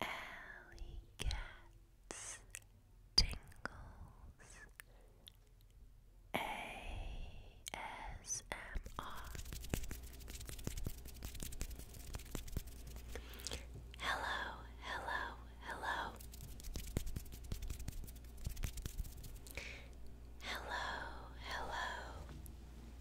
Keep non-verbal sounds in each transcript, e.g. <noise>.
Alley cats tingles ASMR. Hello, hello, hello. Hello, hello.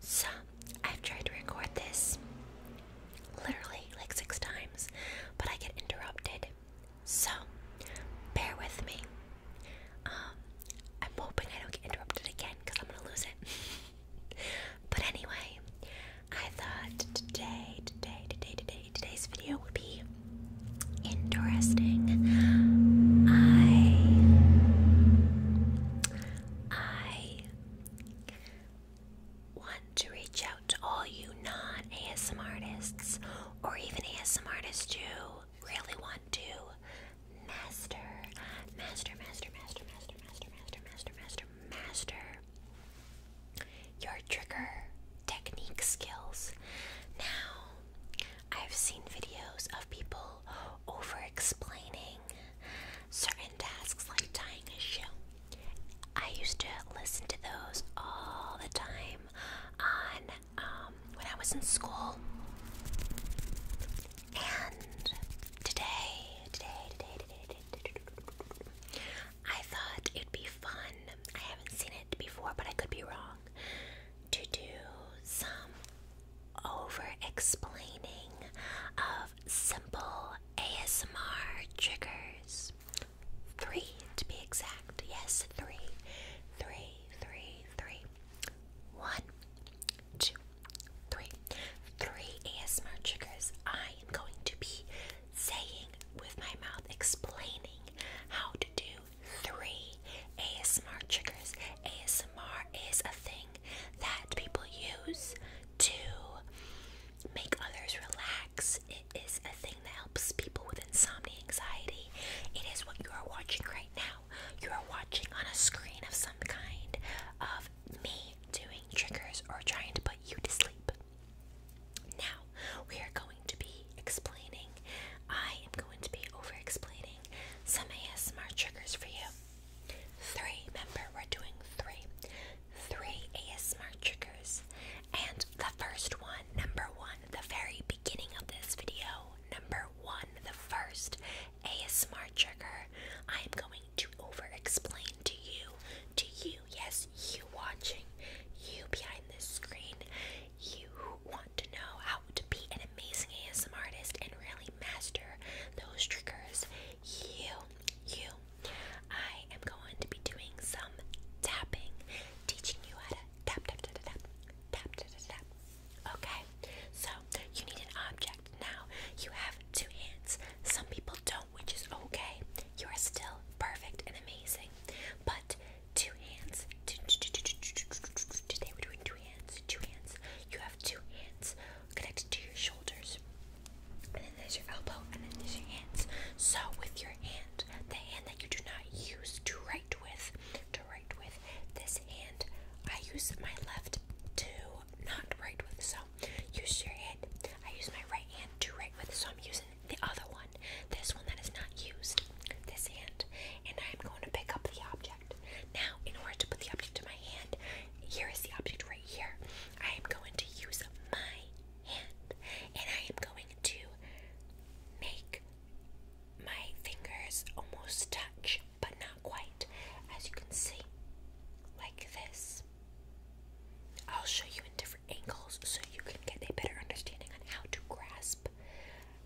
So, I've tried to record this literally like six times, but I get interrupted. So, bear with me. Um, I'm hoping I don't get interrupted again because I'm gonna lose it. <laughs> but anyway, I thought today, today, today, today, today's video would be interesting. I I want to reach out to all you non ASM artists or even ASM artists who really want to master, master, master, master, master, master, master, master, master, master your trigger technique skills. Now, I've seen videos of people over explaining certain tasks like tying a shoe. I used to listen to those all the time on when I was in school. And today, today, today, today, today, today, today I thought it'd be fun. I haven't seen it before, but I could be wrong. To do some over explaining of simple ASMR triggers. Three to be exact. Yes, three, three, three, three. One, two, three. Three ASMR triggers I am going to be saying with my mouth, explaining how to do three ASMR triggers. ASMR is a thing that people use to make others relax. It is a thing that helps people with insomnia, anxiety. It is what you are watching right now. You are watching on a screen of some kind of me doing triggers or trying to put you to sleep. Now, we are going to be explaining. I am going to be over explaining some ASMR triggers for you. Three, remember, we're doing three. Three ASMR triggers. And the first one, number one, the very beginning of this video, number one, the first ASMR trigger, I am going to over explain to you, to you, yes, you watching, you behind this screen, you want to know how to be an amazing ASM artist and really master those triggers, you, you, I am going to be doing some tapping, teaching you how to tap, tap, tap, tap, tap, tap, tap. Okay, so you need an object now. You have two hands. Some people don't, which is okay. You are still perfect and amazing, but two hands. today we're doing two hands. Two hands. You have two hands connected to your shoulders. And then there's your elbow, and then there's your hands. So with your hand, the hand that you do not use to write with, to write with, this hand, I use my left to not write with. So use your hand. I use my right hand to write with, so I'm using the other one, this one that is not used, this hand, and I'm going to pick up the object. Now, in order to put the object to my hand, here is the object right here. I am going to use my hand and I am going to make my fingers almost touch, but not quite, as you can see, like this. I'll show you in different angles so you can get a better understanding on how to grasp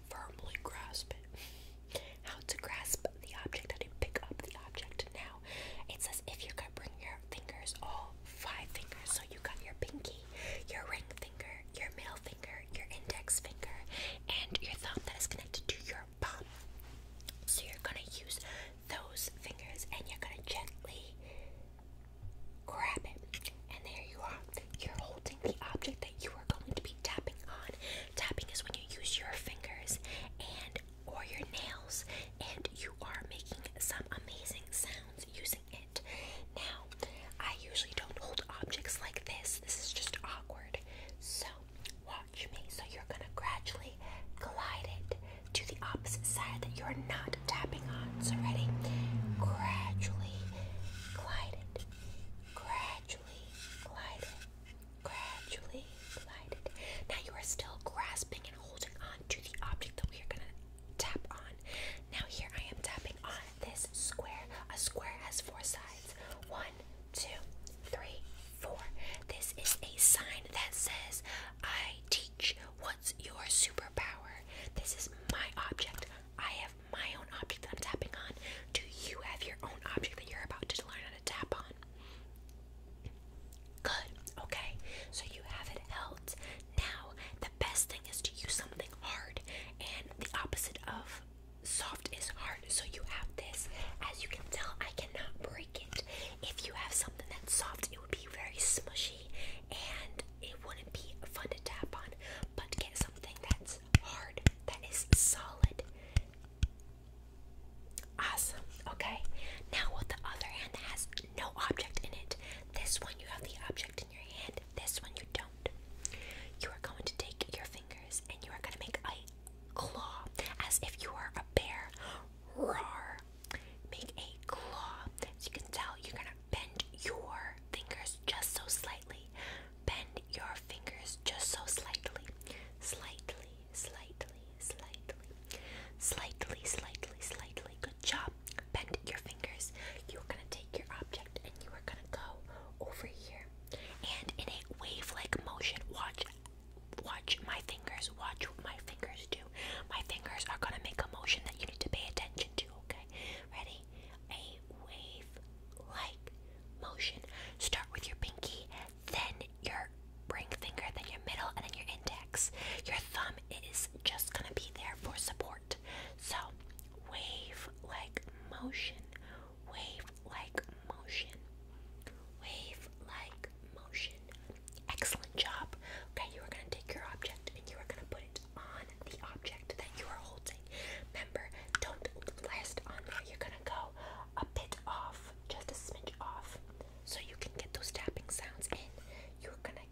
firmly grasp it. <laughs> How to grasp the object, how to pick up the object. Now, it says if you are gonna bring your fingers, all five fingers, so you got your pinky, your ring finger, your middle finger, your index finger, and your thumb that is connected to your palm. So you're gonna use those fingers and you're gonna gently grab it. And there you are you're holding the object that you are going to be tapping on. Tapping is when you use your fingers and or your nails and you are making some amazing sounds using it. Now, I usually don't hold objects like this. This is just awkward. So, watch me. So you're going to gradually glide it to the opposite side that you're not tapping on. So ready? Gradually glide it Gradually glide it. Gradually glide it. Now you are still grasping and holding on to the object that we are going to tap on. Now here I am tapping on this square. A square has four sides. One, two, three, four. This is a sign that says, I teach. What's your superpower? This is my object. I have my own object that I'm tapping on? Do you have your own object that you're about to learn how to tap on? Good, okay. So you have it held. Now, the best thing is to use something hard, and the opposite of soft is hard. So you have this. As you can tell, I cannot break it. If you have something that's soft, it would be very smushy and it wouldn't be fun to tap on. But get something that's hard. That is solid. Awesome. Okay. Now with the other hand that has no object in it. This one you have the object in your hand. This one you don't. You are going to take your fingers and you are going to make a claw as if you are a bear. Roar. Make a claw. As you can tell, you're going Bend your fingers just so slightly. Bend your fingers just so slightly. Slightly, slightly, slightly. Slightly, slightly, slightly. Good job. Bend your fingers. You are going to take your object and you are going to go over here. And in a wave like motion, watch. Watch my fingers. Watch what my fingers do. My fingers are gonna make a motion that you need to pay attention to. Okay, ready? a wave-like motion. Start with your pinky, then your ring finger, then your middle, and then your index. Your thumb is just gonna be there for support. So, wave-like motion, wave-like motion, wave-like motion. Excellent job. Okay, you are gonna take your object and you are gonna put it on the object that you are holding. Remember, don't last on there. You're gonna go a bit off, just a smidge off, so you can get those tapping sounds in. You're gonna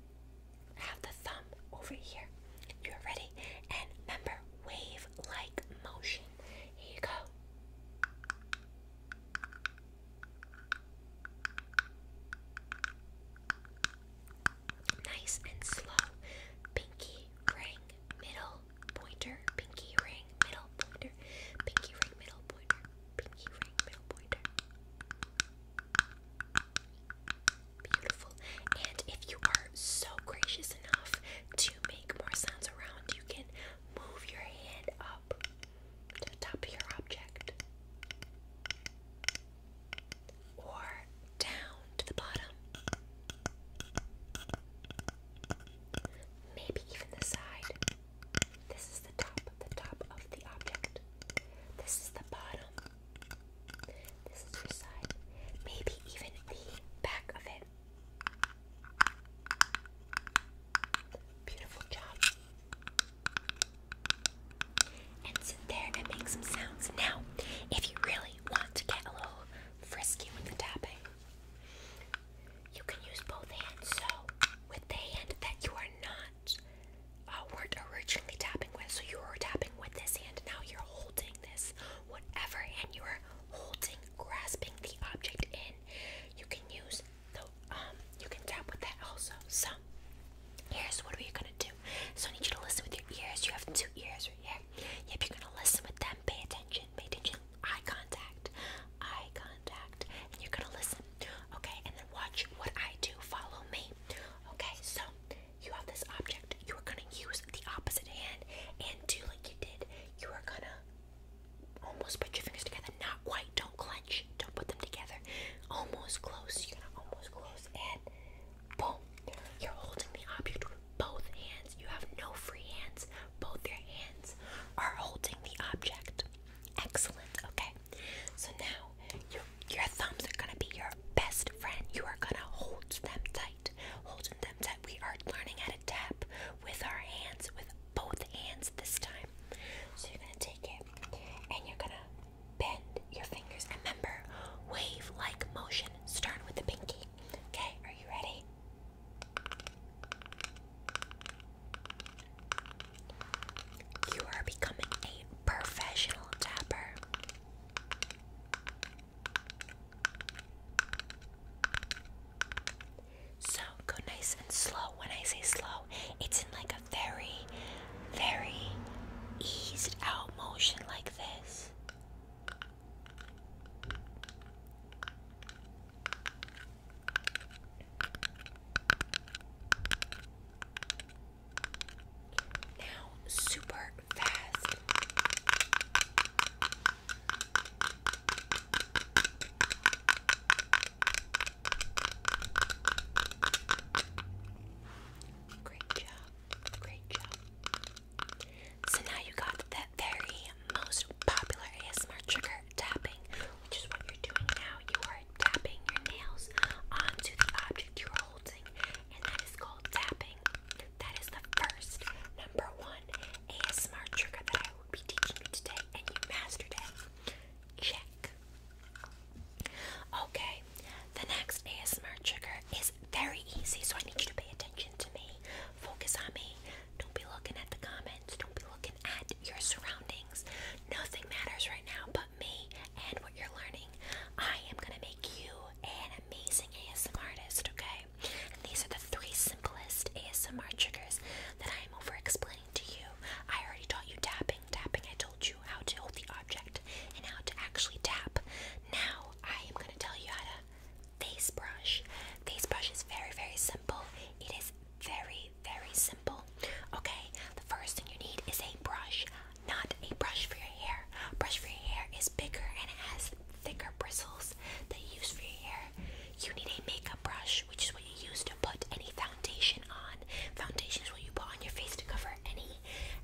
have the thumb over here. You're ready? And remember, wave like motion. Here you go nice and slow. Pinky ring, middle pointer. Pinky ring, middle pointer. Pinky ring, middle pointer. Pinky ring, middle pointer. Beautiful. And if you are so gracious enough to make more sounds around, you can move your hand up to the top of your object or down to the bottom. Maybe even the side. This is the top, the top of the object. This is the bottom. This is your side. Maybe even the back of it. Beautiful job and sit there and make some sounds. Now, if you really want to get a little frisky with the tapping, you can use both hands. So, with the hand that you are not uh, weren't originally tapping with, so you are tapping with this hand. Now you're holding this, whatever and you are holding, grasping the object in. You can use the um, you can tap with that also. So, here's what we're gonna do. So I need you to listen with your ears. You have two ears right here. Yep, you're gonna listen with them. Pay attention. Pay attention. Eye contact. Eye contact. And you're gonna listen. Okay, and then watch what I do. Follow me. Okay, so you have this object. You are gonna use the opposite hand and do like you did. You are gonna almost put your fingers together. Not quite. Don't clench. Don't put them together. Almost close. You're gonna almost close and Boom. You're holding the object with both hands. You have no free hands. Both your hands are holding the object. Excellent. Okay. So now your your thumbs are gonna be your best friend. You are gonna hold them tight. Holding them tight. We are learning how to tap with our hands, with both hands this time. So you're gonna take it and you're gonna bend your fingers. Remember, wave like motion, Start with the pinky. Okay, are you ready? You are becoming a professional tapper. So go nice and slow. When I say slow, it's in like a very, very eased out motion like this. Now, super fast. Great job. Great job. So now you got that very most popular ASMR trigger tapping, which is what you're doing now. You are tapping your nails onto the object you're holding, and that is called tapping. That is the first number one ASMR trigger that I will be teaching you today, and you mastered it. Check. Okay, the next ASMR trigger is very easy, so I need you to pay attention to me. Focus on me. Don't be looking at the comments, don't be looking at your surroundings. Nothing matters right now but me and what you're learning. I am gonna make you an amazing ASMR artist, okay? And these are the three simplest ASMR triggers that I am over explaining to you. I already taught you tapping tapping. I told you how to hold the object and how to actually tap. Now, I am going to tell you how to face brush. Face brush is very, very simple. It is very, very simple. Okay, the first thing you need is a brush, not a brush for your hair. Brush for your hair is bigger and it has thicker bristles that you use for your hair. You need a makeup brush, which is what you use to put any foundation on. Foundation is what you put on your face to cover any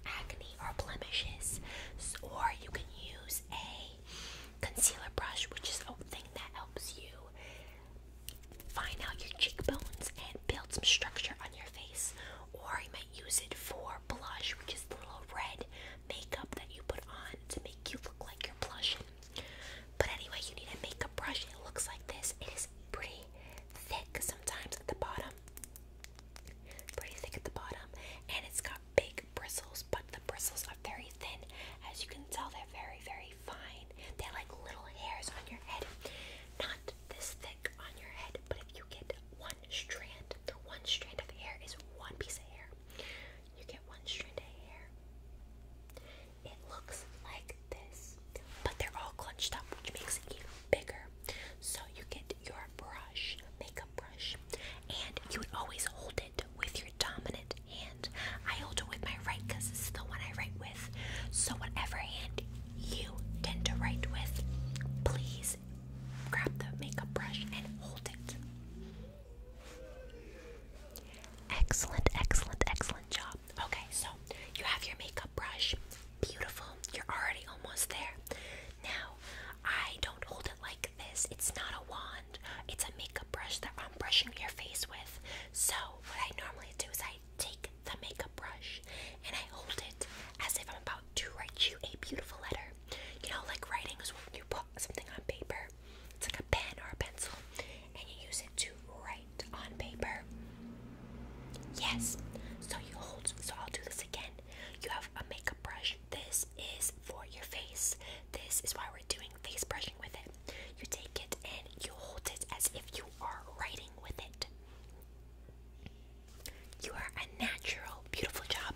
acne or blemishes. or you can use a concealer brush, which is a thing that helps you find out your cheekbones and build some structure on your face. Or you might use it for blush, which is the little red makeup that you put on to make you look like you're blushing. But anyway, you need a makeup brush. It looks like this. It is pretty thick sometimes at the bottom. Pretty thick at the bottom. And it's got big bristles, but the bristles are very thin. As you can tell, they're very, very fine. They're like little hairs on your head. Not this thick on your head, but if you get one strand, the one strand of hair is one piece of hair. You get one strand of hair. It looks like but they're all crunched up, which makes it even bigger. So you get your brush, makeup brush, and you would always hold it with your dominant hand. I hold it with my right because this the one I write with. So whatever hand you tend to write with, please grab the makeup brush and hold it. Excellent, excellent, excellent job. Okay, so you have your makeup brush. Beautiful. You're already almost there. Now, I don't hold it like this. It's not a wand, it's a makeup brush that I'm brushing your face with. So, what I normally do is I take the makeup brush and I hold it as if I'm about to write you a beautiful letter. You know, like writing is when you put something on paper, it's like a pen or a pencil, and you use it to write on paper? Yes. So you hold. So I'll do this again. You have a makeup brush. This is for your face. This is why we're doing face brushing with it. You take it and you hold it as if you are writing with it. You are a natural, beautiful job.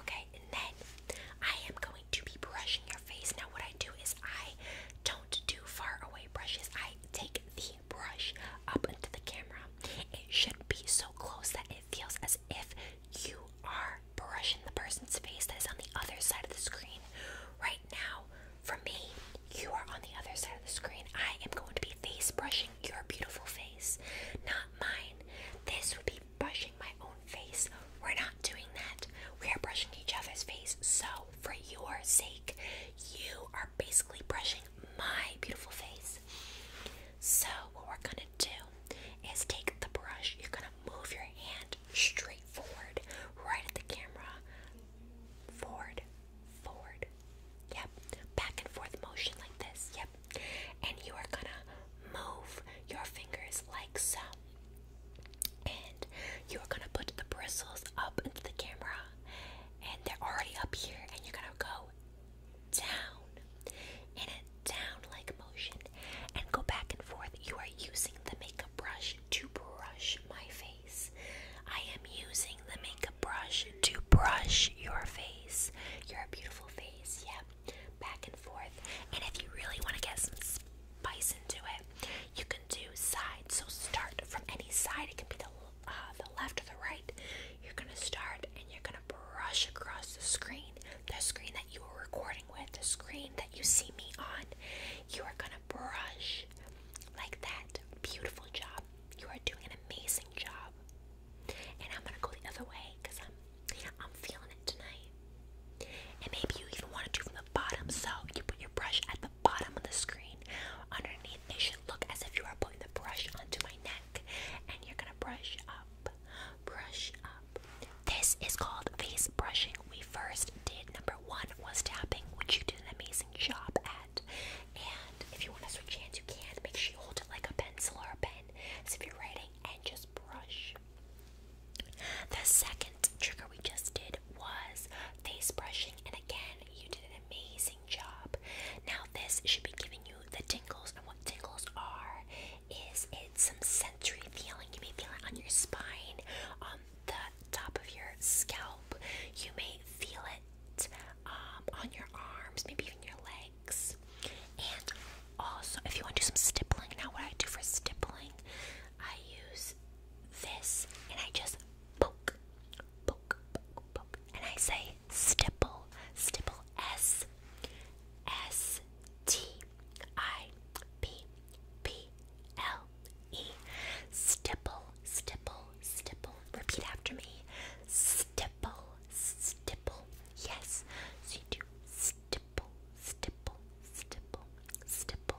Okay, and then I am going to be brushing your face. Now, what I do is I don't do far away brushes. I take the brush up into the camera. It should be so close that it feels as if you are brushing the person's face that is on the other side of the screen. Right now, for me, you are on the other side of the screen. I am going to be face brushing your beautiful face, not mine. This would be brushing my own face. We're not doing that. We are brushing each other's face. So for your sake, you are basically brushing my beautiful face. So, what we're gonna do is take the brush, you're gonna move your hand straight forward, right at the camera. Forward, forward, yep, back and forth motion like this, yep. And you are gonna move your fingers like so and you are gonna put the bristles up into the camera, and they're already up here, and you're gonna go down in a down like motion and go back and forth. You are using the makeup brush to brush my face. I am using the makeup brush to brush your face. Your beautiful face, yep. Yeah. Back and forth. And if you really want to get some Bison, do it. You can do side. so start from any side. It can be the uh, the left or the right. You're gonna start and you're gonna brush across the screen, the screen that you were recording with, the screen that you see me on. You are gonna brush like that. Beautiful job. You are doing an amazing job. And I'm gonna go the other way because I'm I'm feeling it tonight. And maybe you even want to do from the bottom, so you put your brush at the bottom of the screen. Underneath, it should look as if you are putting the brush onto my neck, and you're gonna brush up, brush up. This is called face brushing. We first did number one was tapping, which you did an amazing job at. And if you want to switch hands, you can. Make sure you hold it like a pencil or a pen. as if you're writing, and just brush, the second trigger we just did was face brushing, and again, you did an amazing job. Now, this should be giving you the tingles, and what tingles are is it some sensory feeling. You may feel it on your spine, on the top of your scalp. You may feel it um, on your arms, maybe even your legs. And also, if you want to do some stippling, now what I do for stippling I use this and I just poke, poke, poke, poke, and I say stipple, stipple, S, S, T, I, P, P, L, E, stipple, stipple, stipple. Repeat after me, stipple, stipple. Yes, so do stipple, stipple, stipple, stipple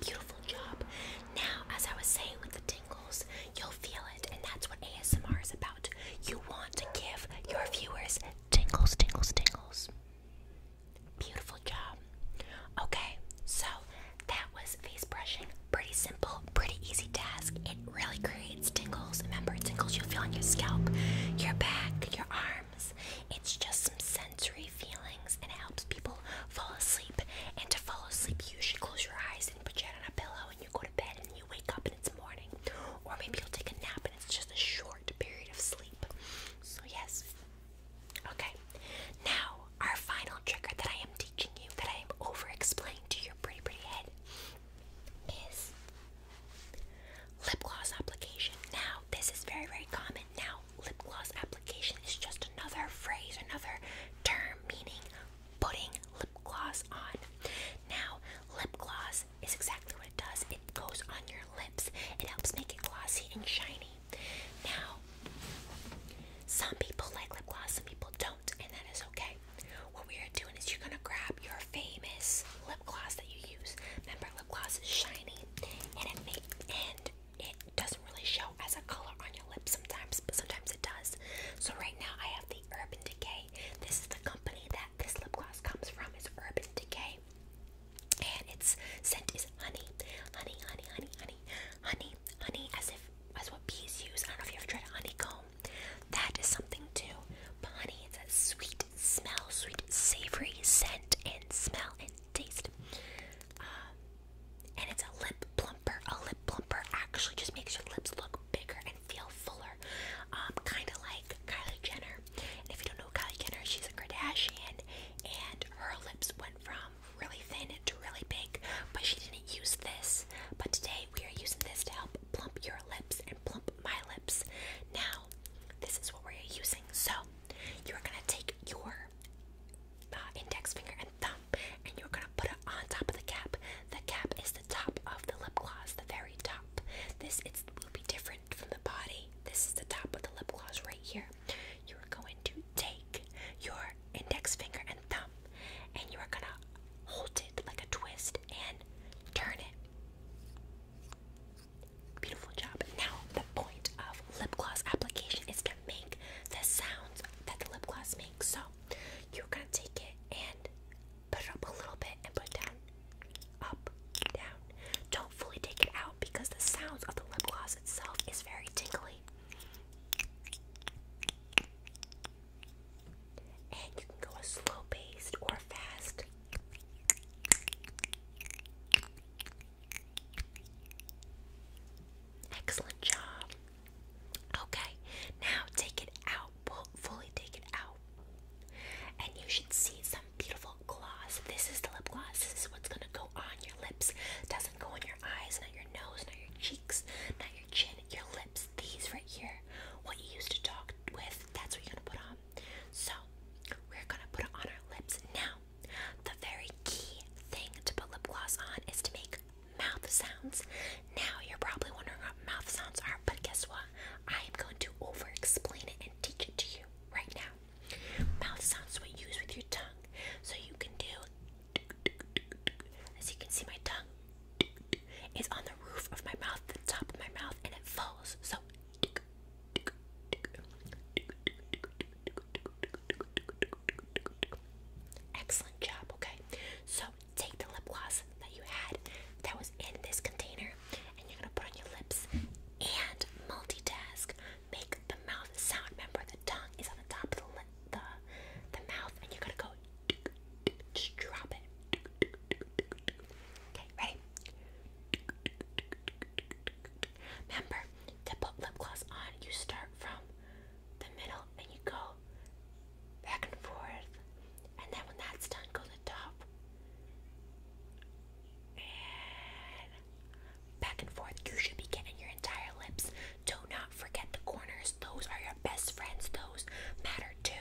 Beautiful job. Now, as I was saying with the tingles, you'll feel it, and that's what ASMR is about. You want to give your viewers tingles, tingles, tingles. Beautiful job. Okay, so that was face brushing. Pretty simple, pretty easy task. It really creates tingles. Remember, tingles you feel on your scalp, your back, your arm. It's just some sensory feelings and it helps people fall asleep. And to fall asleep, you should close your eyes and put your head on a pillow and you go to bed and you wake up and it's morning. Or maybe you'll take a nap and it's just a short period of sleep. So, yes. Okay. Now, our final trigger that I am teaching you, that I am over explaining to your pretty, pretty head, is lip gloss application. Now, this is very, very common. Now, lip gloss application is just another phrase, another term meaning putting lip gloss on. Now, lip gloss is exactly what it does it goes on your lips, it helps make it glossy and shiny. Now, some people like lip gloss, some people don't, and that is okay. What we are doing is you're gonna grab your famous lip gloss that you use. Remember, lip gloss is shiny and it makes and it doesn't really show as a color on your lips sometimes, but sometimes it does. So right now I have the Urban Decay. This is the company that this lip gloss comes from. It's Urban Decay, and its scent is honey, honey, honey, honey, honey, honey, honey, as if as what bees use. I don't know if you ever tried a honeycomb. That is something too, but honey, it's a sweet sweet smell, sweet savory scent and smell and taste. Uh, and it's a lip plumper. A lip plumper actually just makes your lips look bigger and feel fuller. Um, kind of like Kylie Jenner. if you don't know Kylie Jenner, she's a Kardashian, and her lips went from really thin to really big, but she didn't use this. But today we are using this to help plump your lips and plump my lips. Now, this is what we're using. So, you are gonna take your uh, index finger and thumb, and you're gonna put it on top of the cap. The cap is the top of the lip gloss, the very top. This it will be different from the body. This is the top of the lip gloss right here. You are going to take your index finger and thumb, and you are gonna hold it like a twist and turn it. Beautiful job. Now, the point of lip gloss application is to make the sounds that the lip gloss makes. So, you're gonna take it and put it up a little bit and put it down. Up, down. Don't fully take it out because the sounds of the lip gloss itself is very tingly. And you can go a slow paced or fast Excellent job. Okay, now take it out. fully take it out. And you should see some beautiful gloss. This is the lip gloss. This is what's going to go on your lips. Doesn't go on your eyes, not your nose, not your cheeks, not your chin, your lips. These right here, what you used to talk with, that's what you're going to put on. So we're gonna put it on our lips now. The very key thing to put lip gloss on is to make mouth sounds. Now you're probably wondering what mouth sounds are, but guess what? I am going to over explain it and teach it to you right now. Mouth sounds what you use with your tongue. So you can do as you can see my tongue is on the roof of my mouth, the top of my mouth, and it falls. So Excellent job, okay? So take the lip gloss that you had that was in this container and you're gonna put on your lips and multitask. Make the mouth sound. Remember the tongue is on the top of the lip, the the mouth and you're gonna go just drop it. Okay, ready? Remember to put lip gloss on, you start from the middle and you go back and forth. And then when that's done, go the top. And back and forth. You should be getting your entire lips. Do not forget the corners. Those are your best friends. Those matter too.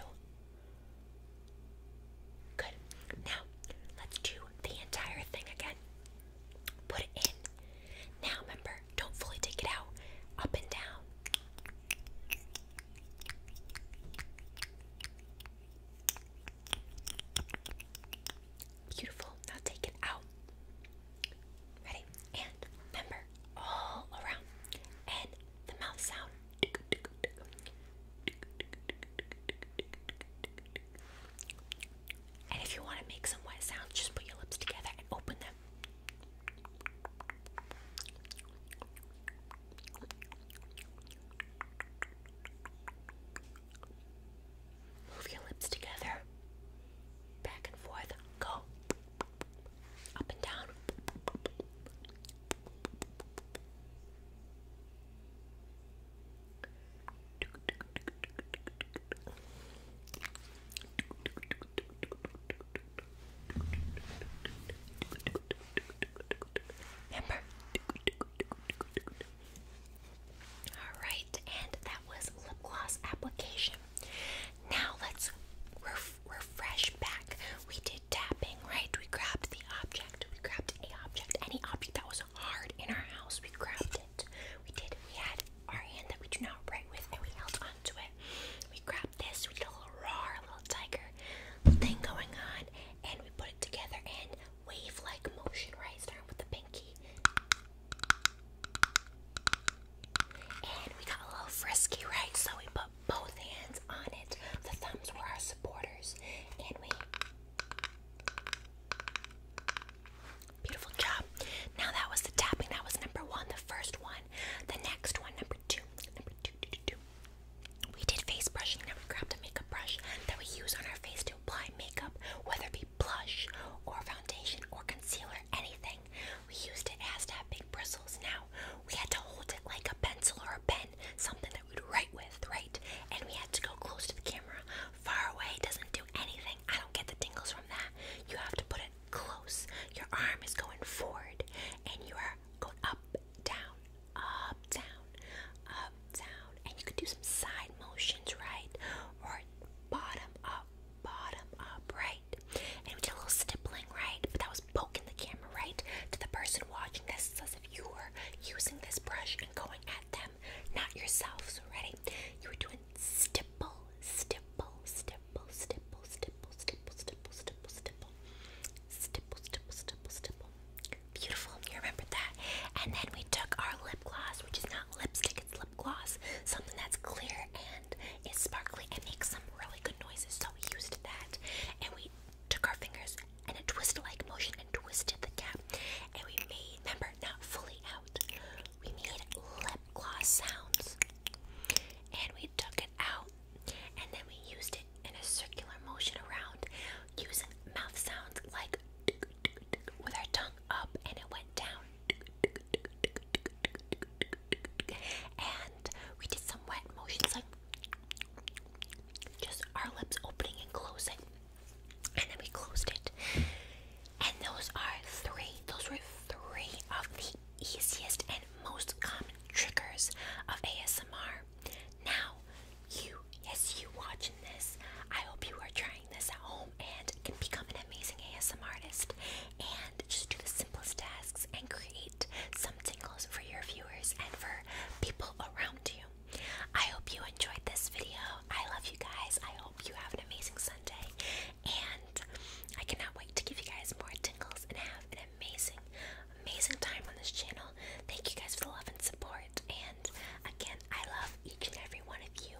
Good. Now, let's do the entire thing again. Put it in. Now, remember, don't fully take it out. Up and down. Beautiful. Now take it out. Ready? And remember, all around. And the mouth sound. And if you want to make some wet sounds, just put your lips together and open them. Move your lips together, back and forth, go up and down. Remember? Alright, and that was lip gloss application. Now let's refresh back. We did tapping, right? We grabbed the object. We grabbed a object, any object that was hard in our house. We grabbed it. We did. We had our hand that we do not write with, and we held onto it. We grabbed this. We did a little roar, a little tiger thing going on, and we put it together and wave-like motion. Right, starting with the pinky, and we got a little frisky, right? So we put both hands on it. The thumbs were our supporters, and we. Beautiful job. Now that was the tapping. That was number one, the first one. The next one, number two. Number two, two, two, two. We did face brushing. Now we grabbed a makeup brush that we use on our face to apply makeup, whether it be blush or foundation or concealer, anything. We used it. It has to have big bristles. Now we had to hold it like a pencil or a pen, something that. Right we'd with, right? And we had to go close to the camera. Far away doesn't do anything. I don't get the tingles from that. You have to put it close. Your arm is going forward and you are going up, down, up, down, up, down. And you can do some side motions, right? Or bottom up, bottom up, right? And we did a little stippling, right? But that was was poking the camera right to the person watching this. as if you were using this brush and going at them, not yourself. So, ready? You were doing stipple, stipple, stipple, stipple, stipple, stipple, stipple, stipple, stipple, stipple, stipple, stipple, stipple. Beautiful. You remember that? And then we took our lip gloss, which is not lipstick, it's lip gloss, something that's clear and is sparkly and makes some really good noises. So we used that and we took our fingers and a twist like motion and twisted the cap. And we made, remember, not fully out, we made lip gloss sounds. And we took it out and then we used it in a circular motion around using mouth sounds like with our tongue up and it went down. And we did some wet motions like just our lips opening and closing. And then we closed it. And those are three, those were three of the easiest and most common triggers of ASMR. Now, you, yes, you watching this, I hope you are trying this at home and can become an amazing ASMR artist and just do the simplest tasks and create some tingles for your viewers and for people around you. I hope you enjoyed this video. I love you guys. I hope you have an amazing Sunday. And I cannot wait to give you guys more tingles and have an amazing, amazing time on this channel. Thank you guys for the love and support. And again, I love each and every one of you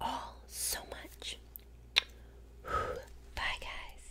all so much. <sighs> Bye, guys.